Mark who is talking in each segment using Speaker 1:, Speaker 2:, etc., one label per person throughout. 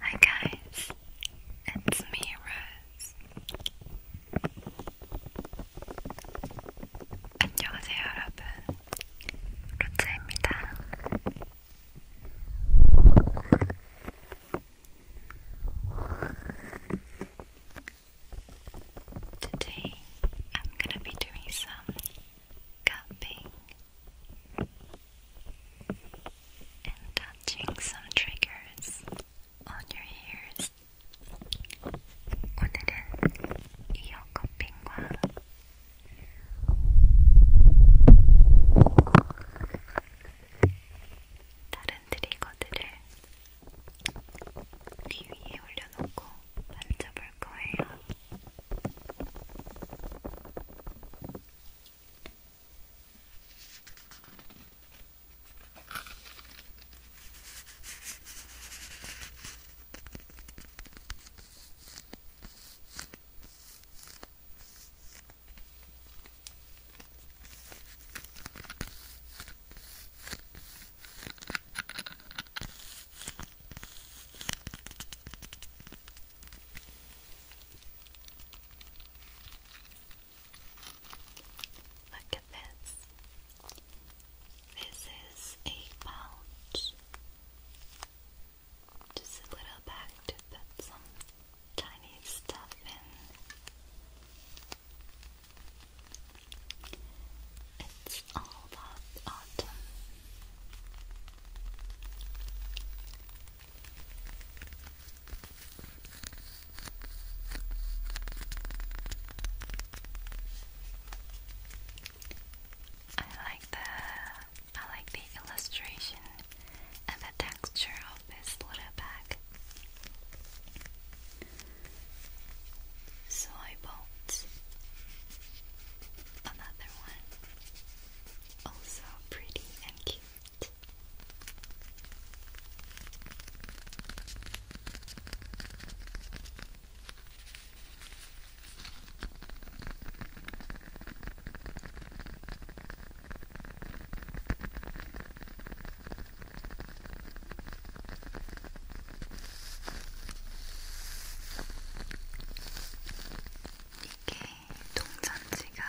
Speaker 1: Hi guys, it's me, Rose. 안녕하세요, 여러분. 루차입니다. Today I'm gonna be doing some cupping and touching some triggers on your ears. 오늘은 이어
Speaker 2: 다른 트리거들을 귀 위에 올려놓고 만져볼 거예요. Look at this. This is a pouch just a little bag to put some tiny stuff in. It's all about autumn. I like the I like the illustration and the texture of this little bag. So I bought another one, also pretty and cute. 이게 동전지갑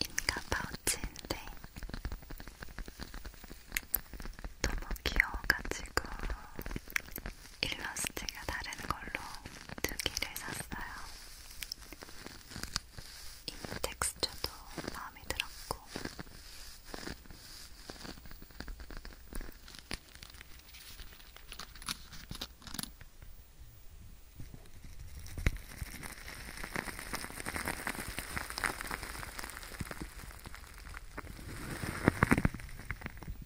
Speaker 2: 인가 파우치인데 너무 귀여워가지고 일러스트가 다른 걸로 두 개를 샀어요. 이 텍스처도 마음에 들었고,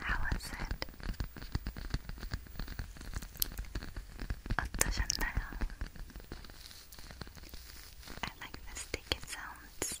Speaker 3: How was it? 어떠셨나요? I like the sticky sounds.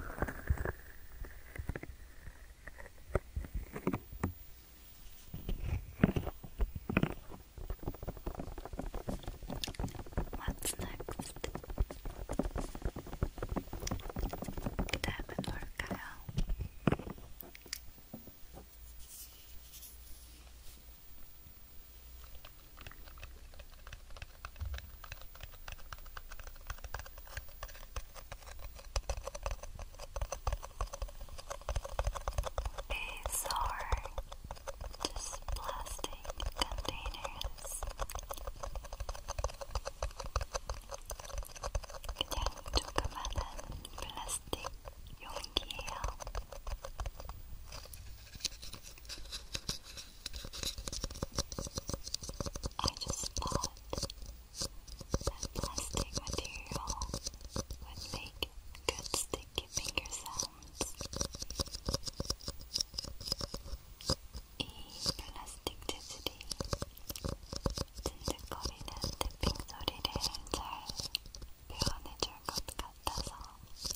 Speaker 3: What's next? Dab and Lord these are just plastic containers 그냥 조그마한 플라스틱 용기예요. I just thought that plastic material would make good sticky finger sounds. 이 플라스틱 재질이 찐득거리는 탭핑 소리를 잘 표현해줄 것 같아서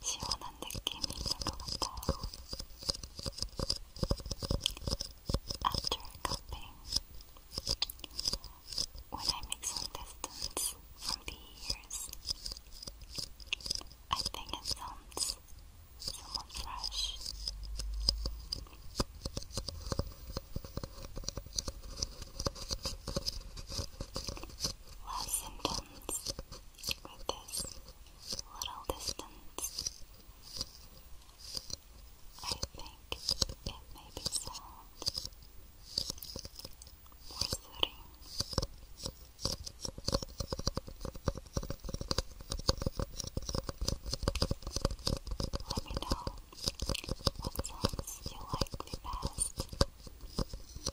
Speaker 3: 시원한 After cupping, when I make some distance from the ears, I think it sounds somewhat fresh. Last symptom distance with this little distance. I think it may be sound more soothing. Let me know what songs you like the best.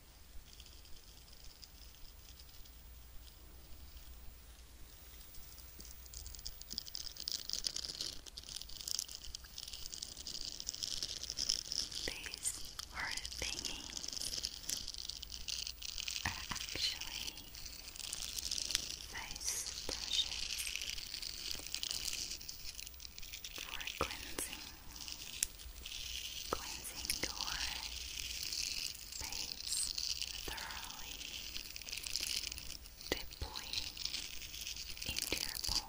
Speaker 3: These word are
Speaker 2: actually face brushes for cleansing cleansing your face thoroughly, deeply into your bones.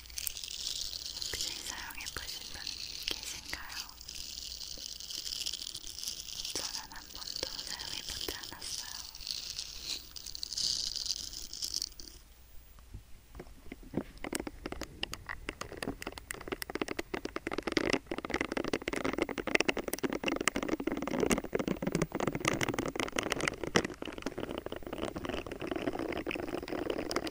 Speaker 2: 혹시 사용해 보신 분 계신가요? 저는 한 번도 사용해 보지 않았어요.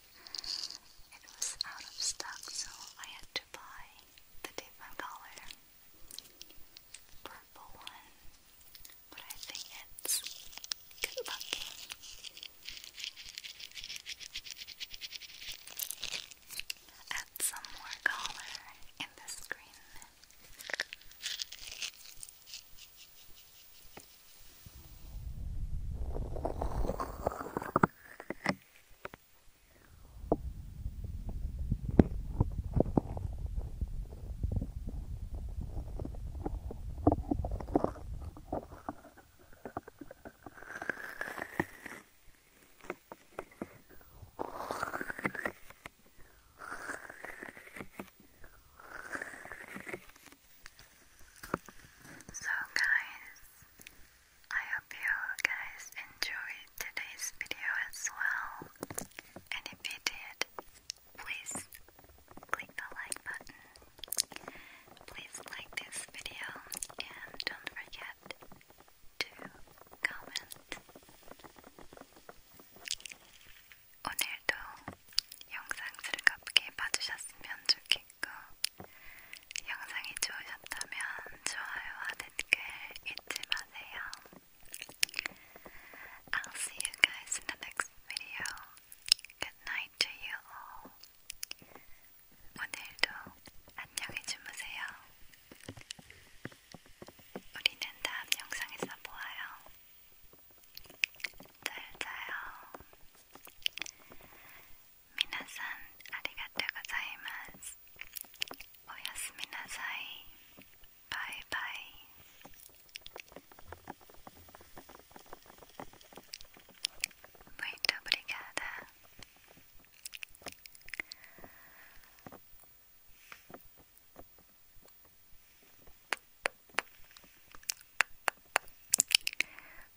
Speaker 2: it was out of stock, so I had to buy the different color purple one. But I think it's good looking. Add some more color in the screen. So, guys, I hope you guys enjoyed today's video as well. And if you did, please click the like button. Please like this video and don't forget to comment. 오늘도 영상 즐겁게 봐주셨으면 좋겠습니다. 있고 영상이 좋으셨다면 좋아요와 댓글 잊지 마세요. I'll see you guys in the next video. Good night to you all. 오늘도 안녕히 주무세요. 우리는 다음 영상에서 보아요. 잘 자요. 皆さんありがとうございますおやすみなさいバイバイ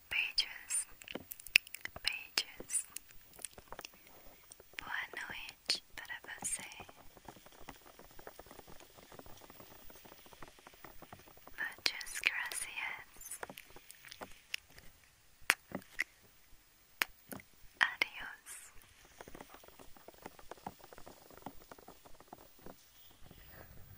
Speaker 2: pages, pages. Boa noite para você. Muchas gracias. Adios.